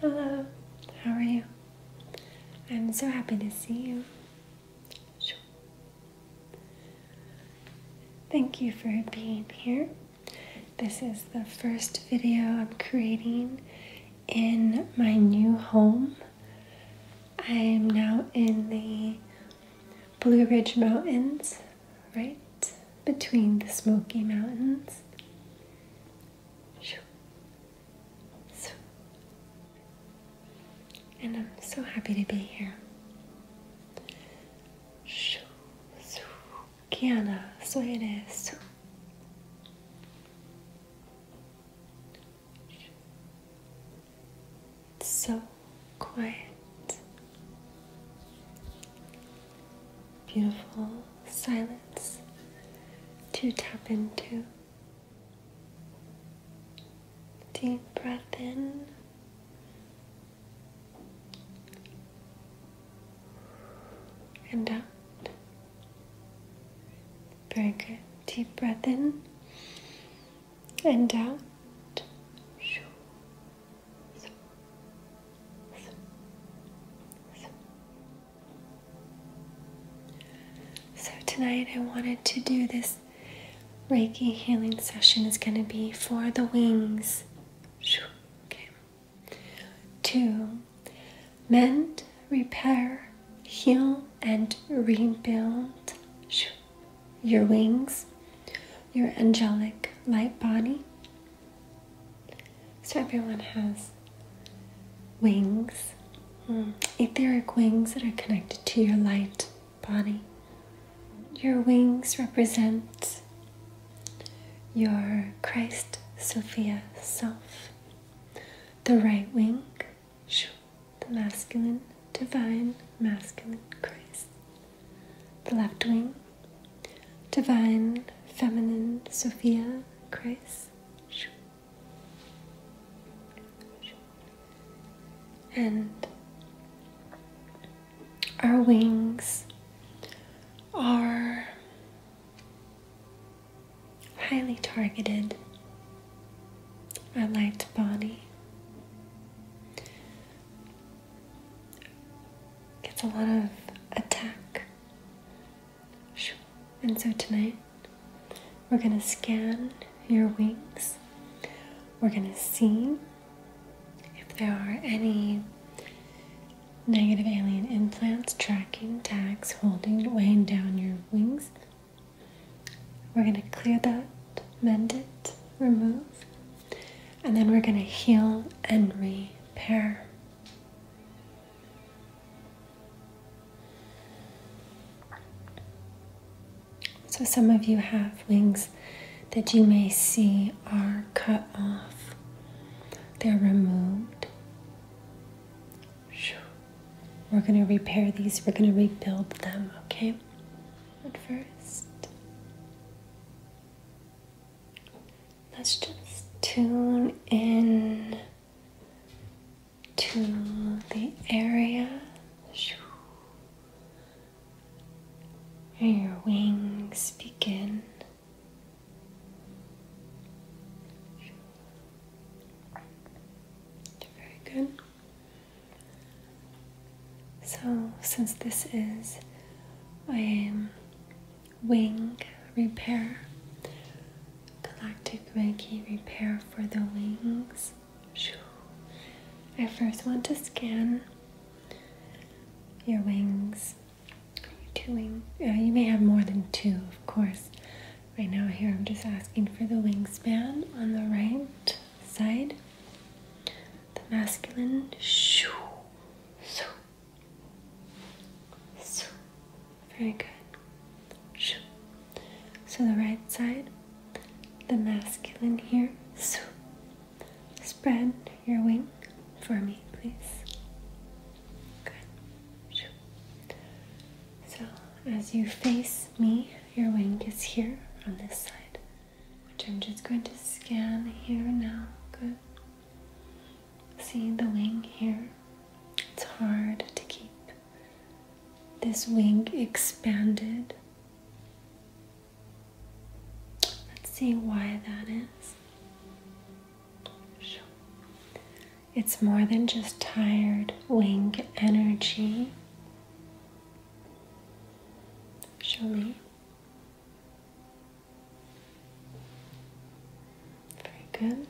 Hello, how are you? I'm so happy to see you. Thank you for being here. This is the first video I'm creating in my new home. I am now in the Blue Ridge Mountains, right between the Smoky Mountains. And I'm so happy to be here. Kiana, soy eres so quiet, beautiful silence to tap into. Deep breath in. And out. Very good. Deep breath in and out. So, tonight I wanted to do this Reiki healing session, is going to be for the wings. Okay. To mend, repair, heal and rebuild your wings, your angelic light body. So, everyone has wings, hmm, etheric wings that are connected to your light body. Your wings represent your Christ Sophia self. The right wing the masculine, divine, masculine Christ. The left wing, divine, feminine Sophia Christ. And our wings are highly targeted a light body. Gets a lot of attack. And so tonight, we're going to scan your wings. We're going to see if there are any negative alien implants, tracking, tags, holding, weighing down your wings. We're going to clear that, mend it, remove, and then we're going to heal and repair. So, some of you have wings that you may see are cut off, they're removed. We're going to repair these, we're going to rebuild them, okay? But first, let's just tune in to the area. And your wings begin. Very good. So, since this is a um, wing repair, galactic wingy repair for the wings, I first want to scan your wings. two wing. Uh, you may have more than two, of course. Right now here I'm just asking for the wingspan on the right side. The masculine shoo. So. So. Very good. Shoo. So the right side, the masculine here. So. Spread your wing for me, please. Good. Shoo. So as you face me, your wing is here on this side, which I'm just going to scan here now. Good. See the wing here? It's hard to keep this wing expanded. Let's see why that is. It's more than just tired wing energy. Show me. Very good.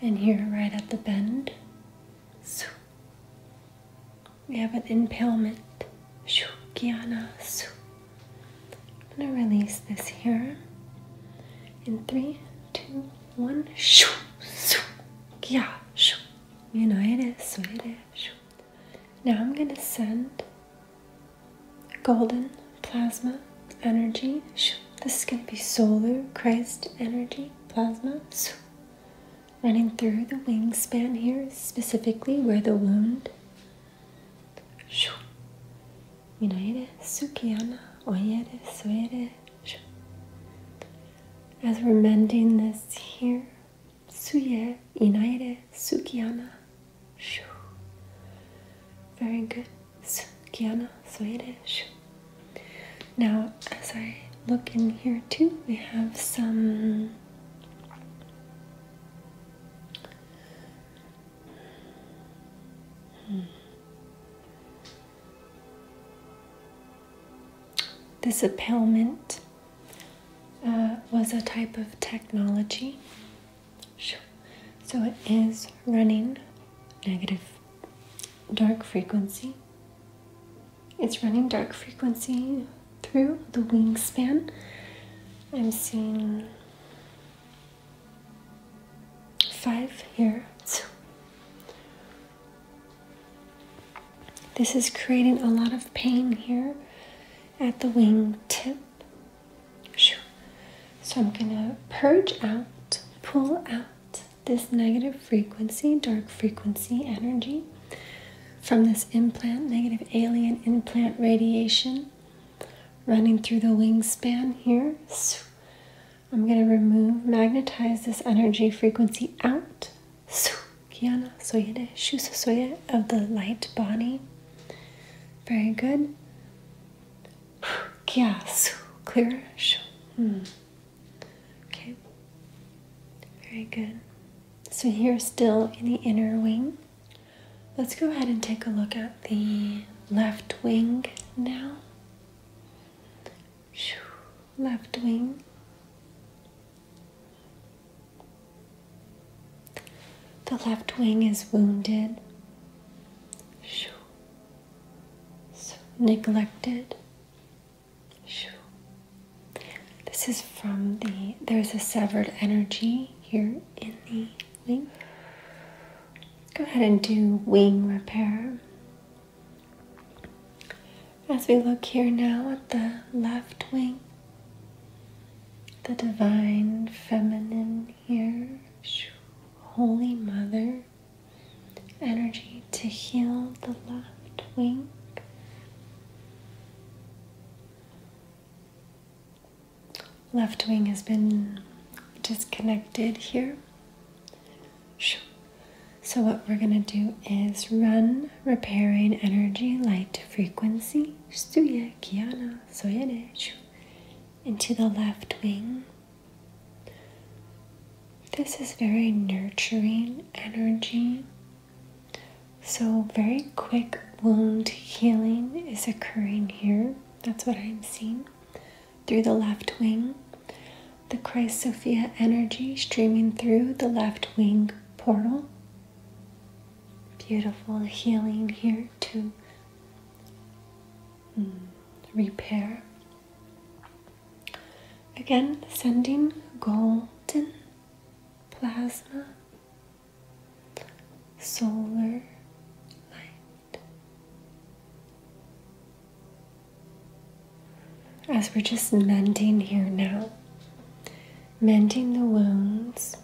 And here, right at the bend, Su. We have an impalement. Shu. Kiana. Su. I'm going to release this here. In three, two, one. Shu. Su. Kia. Shu. United. Suede. Shu. Now I'm going to send golden plasma energy. This is going to be solar Christ energy plasma running through the wingspan here, specifically where the wound. As we're mending this here, suye inaire sukiana. Very good. Sukiana soere now, as I look in here too, we have some this appelment uh, was a type of technology. So it is running negative dark frequency. It's running dark frequency through the wingspan. I'm seeing five here. This is creating a lot of pain here at the wing tip. So I'm gonna purge out, pull out this negative frequency, dark frequency energy from this implant, negative alien implant radiation running through the wingspan here. I'm going to remove, magnetize this energy frequency out. Of the light body. Very good. Clear. clearish. Hmm. Okay, very good. So, here's still in the inner wing. Let's go ahead and take a look at the left wing now. Left wing. The left wing is wounded, so neglected, this is from the, there's a severed energy here in the wing. Go ahead and do wing repair. As we look here now at the left wing, the divine feminine here, Holy Mother, energy to heal the left wing. Left wing has been disconnected here. So, what we're going to do is run repairing energy, light frequency, into the left wing. This is very nurturing energy. So, very quick wound healing is occurring here. That's what I'm seeing through the left wing. The Christ Sophia energy streaming through the left wing portal. Beautiful healing here to mm, repair Again, sending golden plasma, solar light. As we're just mending here now, mending the wounds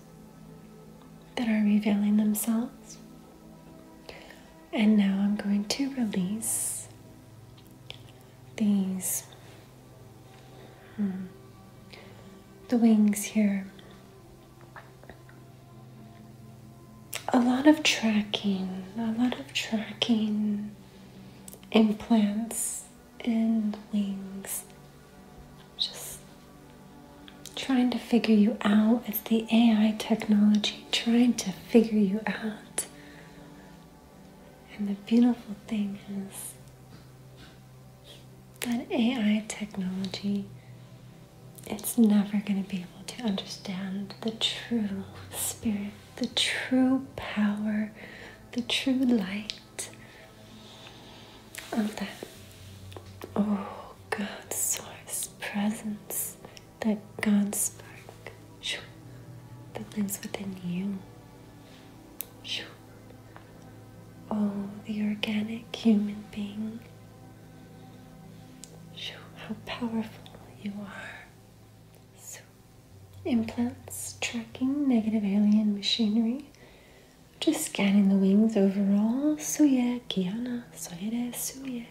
that are revealing themselves. And now I'm going to release these hmm, the wings here. A lot of tracking, a lot of tracking implants in wings. Just trying to figure you out. It's the AI technology trying to figure you out. And the beautiful thing is that AI technology it's never going to be able to understand the true spirit, the true power, the true light of that. Oh, God's source presence, that God spark. The thing's within you. Oh, the organic human being. How powerful you are. So, implants tracking negative alien machinery. Just scanning the wings overall. Suye, Kiana, Soyere, Suye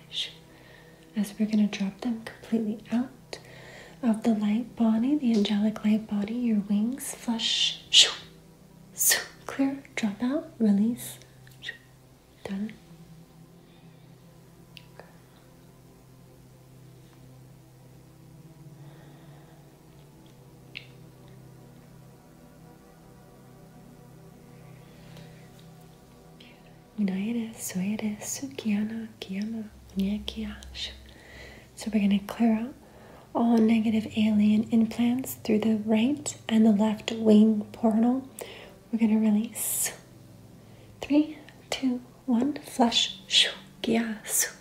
as we're going to drop them completely out of the light body, the angelic light body, your wings flush, shoo, clear, drop out, release, done. You know it is, so it is, Sukiana, Kiana, Nyakiash. So we're going to clear out all negative alien implants through the right and the left wing portal. We're going to release. Three, two, one, flush. Shukiasu.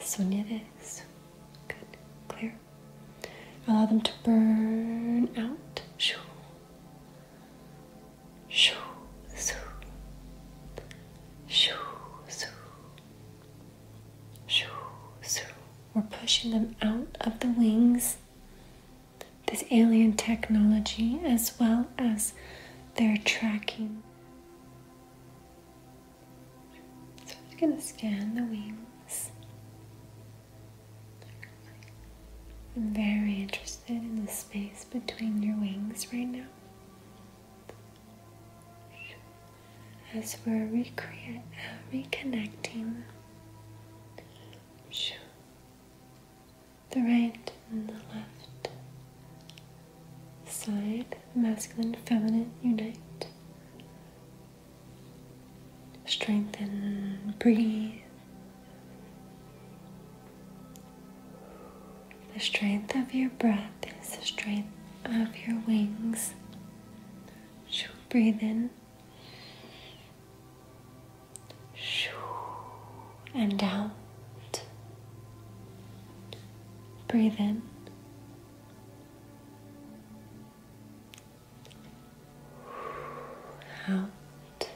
Sonyeres. Good. Clear. Allow them to burn out. Shoo. Shoo, Shoo, Shoo, We're pushing them out of the wings. This alien technology, as well as their tracking. So I'm going to scan the wings. I'm very interested in this space between your wings right now as we're reconnecting the right and the left side, masculine, feminine, unite. Strengthen, breathe. The strength of your breath is the strength of your wings. Shoo, breathe in. Shoo, and out. Breathe in. Out.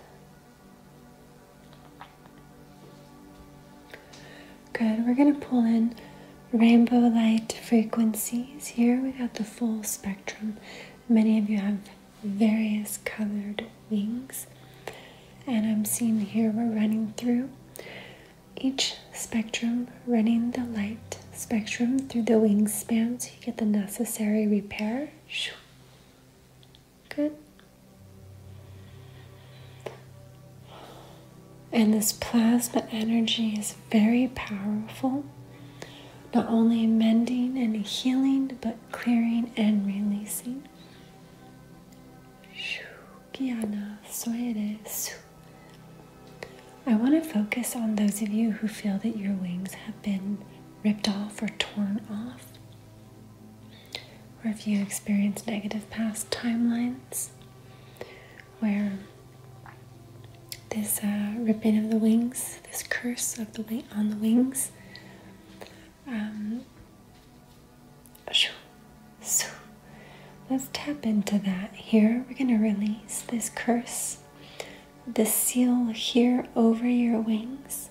Good, we're gonna pull in rainbow light frequencies here. We got the full spectrum. Many of you have various colored wings. And I'm seeing here we're running through each spectrum, running the light spectrum through the wingspan so you get the necessary repair. Good. And this plasma energy is very powerful, not only mending and healing, but clearing and releasing. I want to focus on those of you who feel that your wings have been ripped off or torn off or if you experience negative past timelines where this uh, ripping of the wings, this curse of the wing on the wings, um, so let's tap into that here. We're going to release this curse, this seal here over your wings.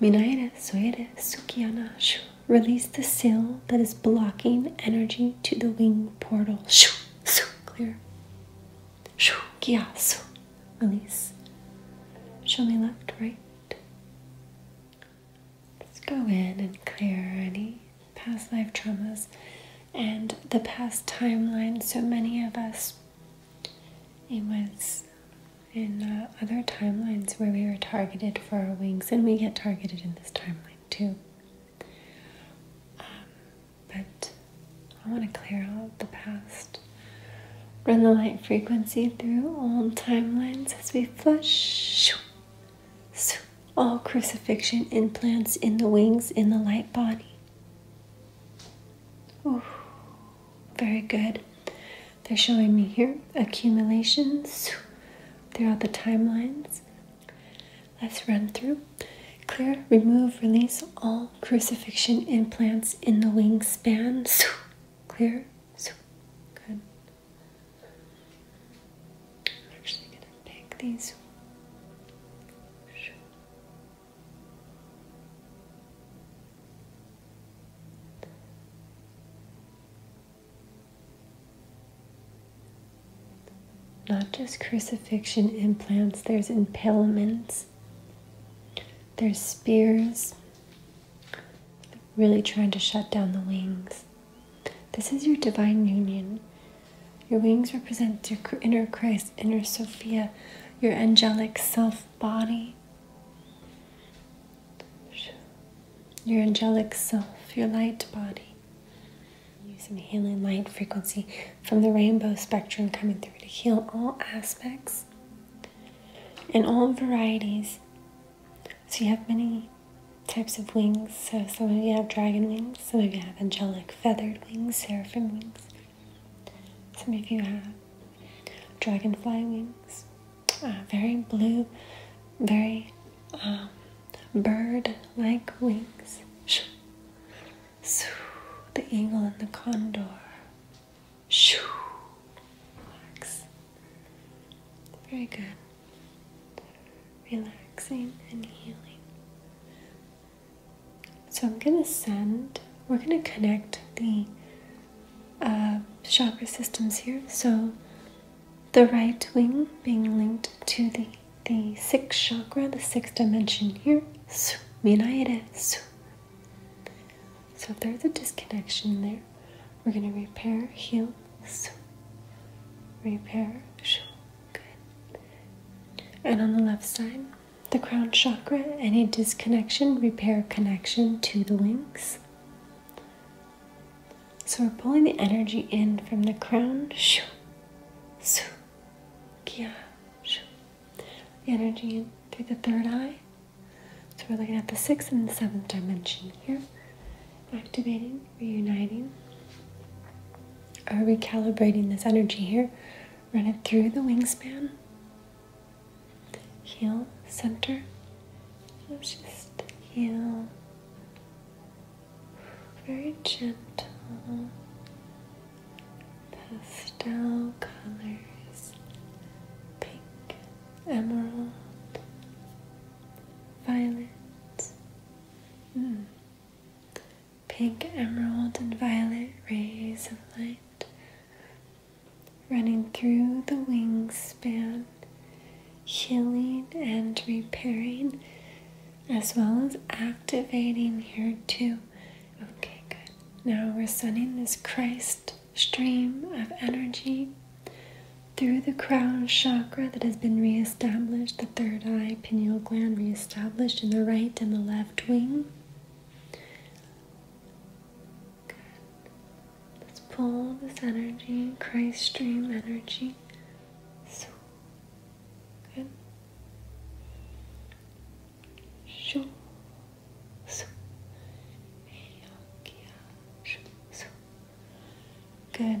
Minaira Suera Sukiyanashu. Release the seal that is blocking energy to the wing portal. Shoo, su, clear. Shoo, kia, su. Release. Show me left, right. Let's go in and clear any past life traumas and the past timeline. So many of us, it was in uh, other timelines where we were targeted for our wings, and we get targeted in this timeline too. Um, but I want to clear out the past. Run the light frequency through old timelines as we flush all crucifixion implants in the wings in the light body. Ooh, very good. They're showing me here accumulations. throughout the timelines. Let's run through. Clear, remove, release all crucifixion implants in the wingspan. Clear. Good. actually going to pick these. Not just crucifixion implants, there's impalements, there's spears, really trying to shut down the wings. This is your divine union. Your wings represent your inner Christ, inner Sophia, your angelic self body your angelic self, your light body, using healing light frequency from the rainbow spectrum coming through to heal all aspects and all varieties. So you have many types of wings. So some of you have dragon wings, some of you have angelic feathered wings, seraphim wings, some of you have dragonfly wings very blue, very um, bird like wings. Shoo, the eagle and the condor. Shoo, relax. Very good. Relaxing and healing. So I'm going to send, we're going to connect the uh, chakra systems here. So the right wing being linked to the, the sixth chakra, the sixth dimension here. So if there's a disconnection there, we're going to repair, heal, repair, good. And on the left side, the crown chakra, any disconnection, repair connection to the links. So we're pulling the energy in from the crown. The energy in through the third eye. So we're looking at the sixth and the seventh dimension here. Activating, reuniting, or recalibrating this energy here. Run it through the wingspan, heel center. Let's just heel. Very gentle pastel colors, pink, emerald, violet. Hmm. Pink, emerald, and violet rays of light running through the wingspan, healing and repairing, as well as activating here too. Okay, good. Now we're sending this Christ stream of energy through the crown chakra that has been reestablished, the third eye pineal gland reestablished in the right and the left wing. Let's pull this energy, Christ stream energy. So good. Shoo. So. Good.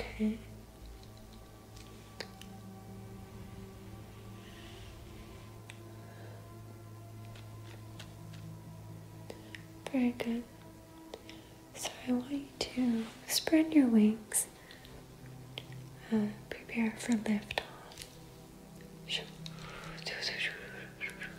Okay. Very good. So I want you to spread your wings. Uh, prepare for lift off.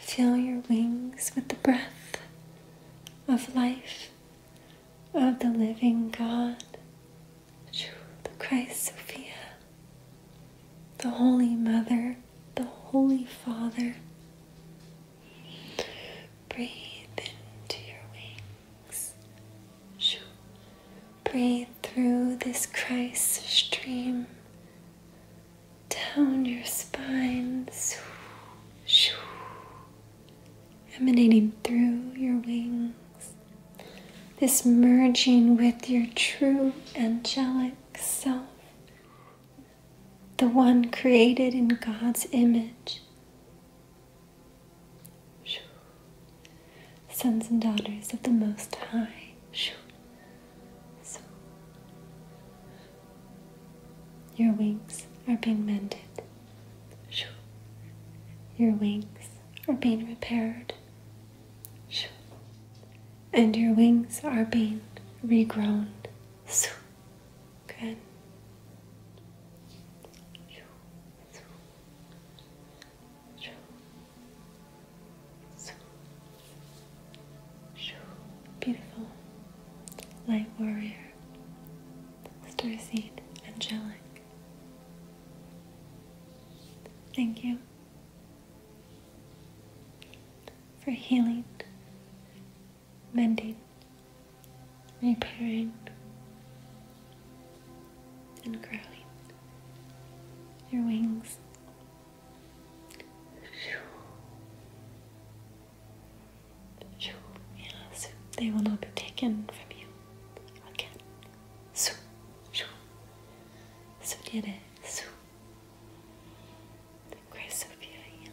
Fill your wings with the breath of life of the living God, the Christ Sophia, the Holy Mother, the Holy Father. Breathe into your wings. Breathe through this Christ stream down your spine, emanating through your wings. This merging with your true angelic self, the one created in God's image. Sons and daughters of the Most High. shoo! So your wings are being mended. Your wings are being repaired. And your wings are being regrown. So. Good. Beautiful. Light warrior. star seed Angelic. Thank you for healing, mending, repairing, and growing your wings yeah, so they will not be taken from you again. So, so did it. the grace of healing.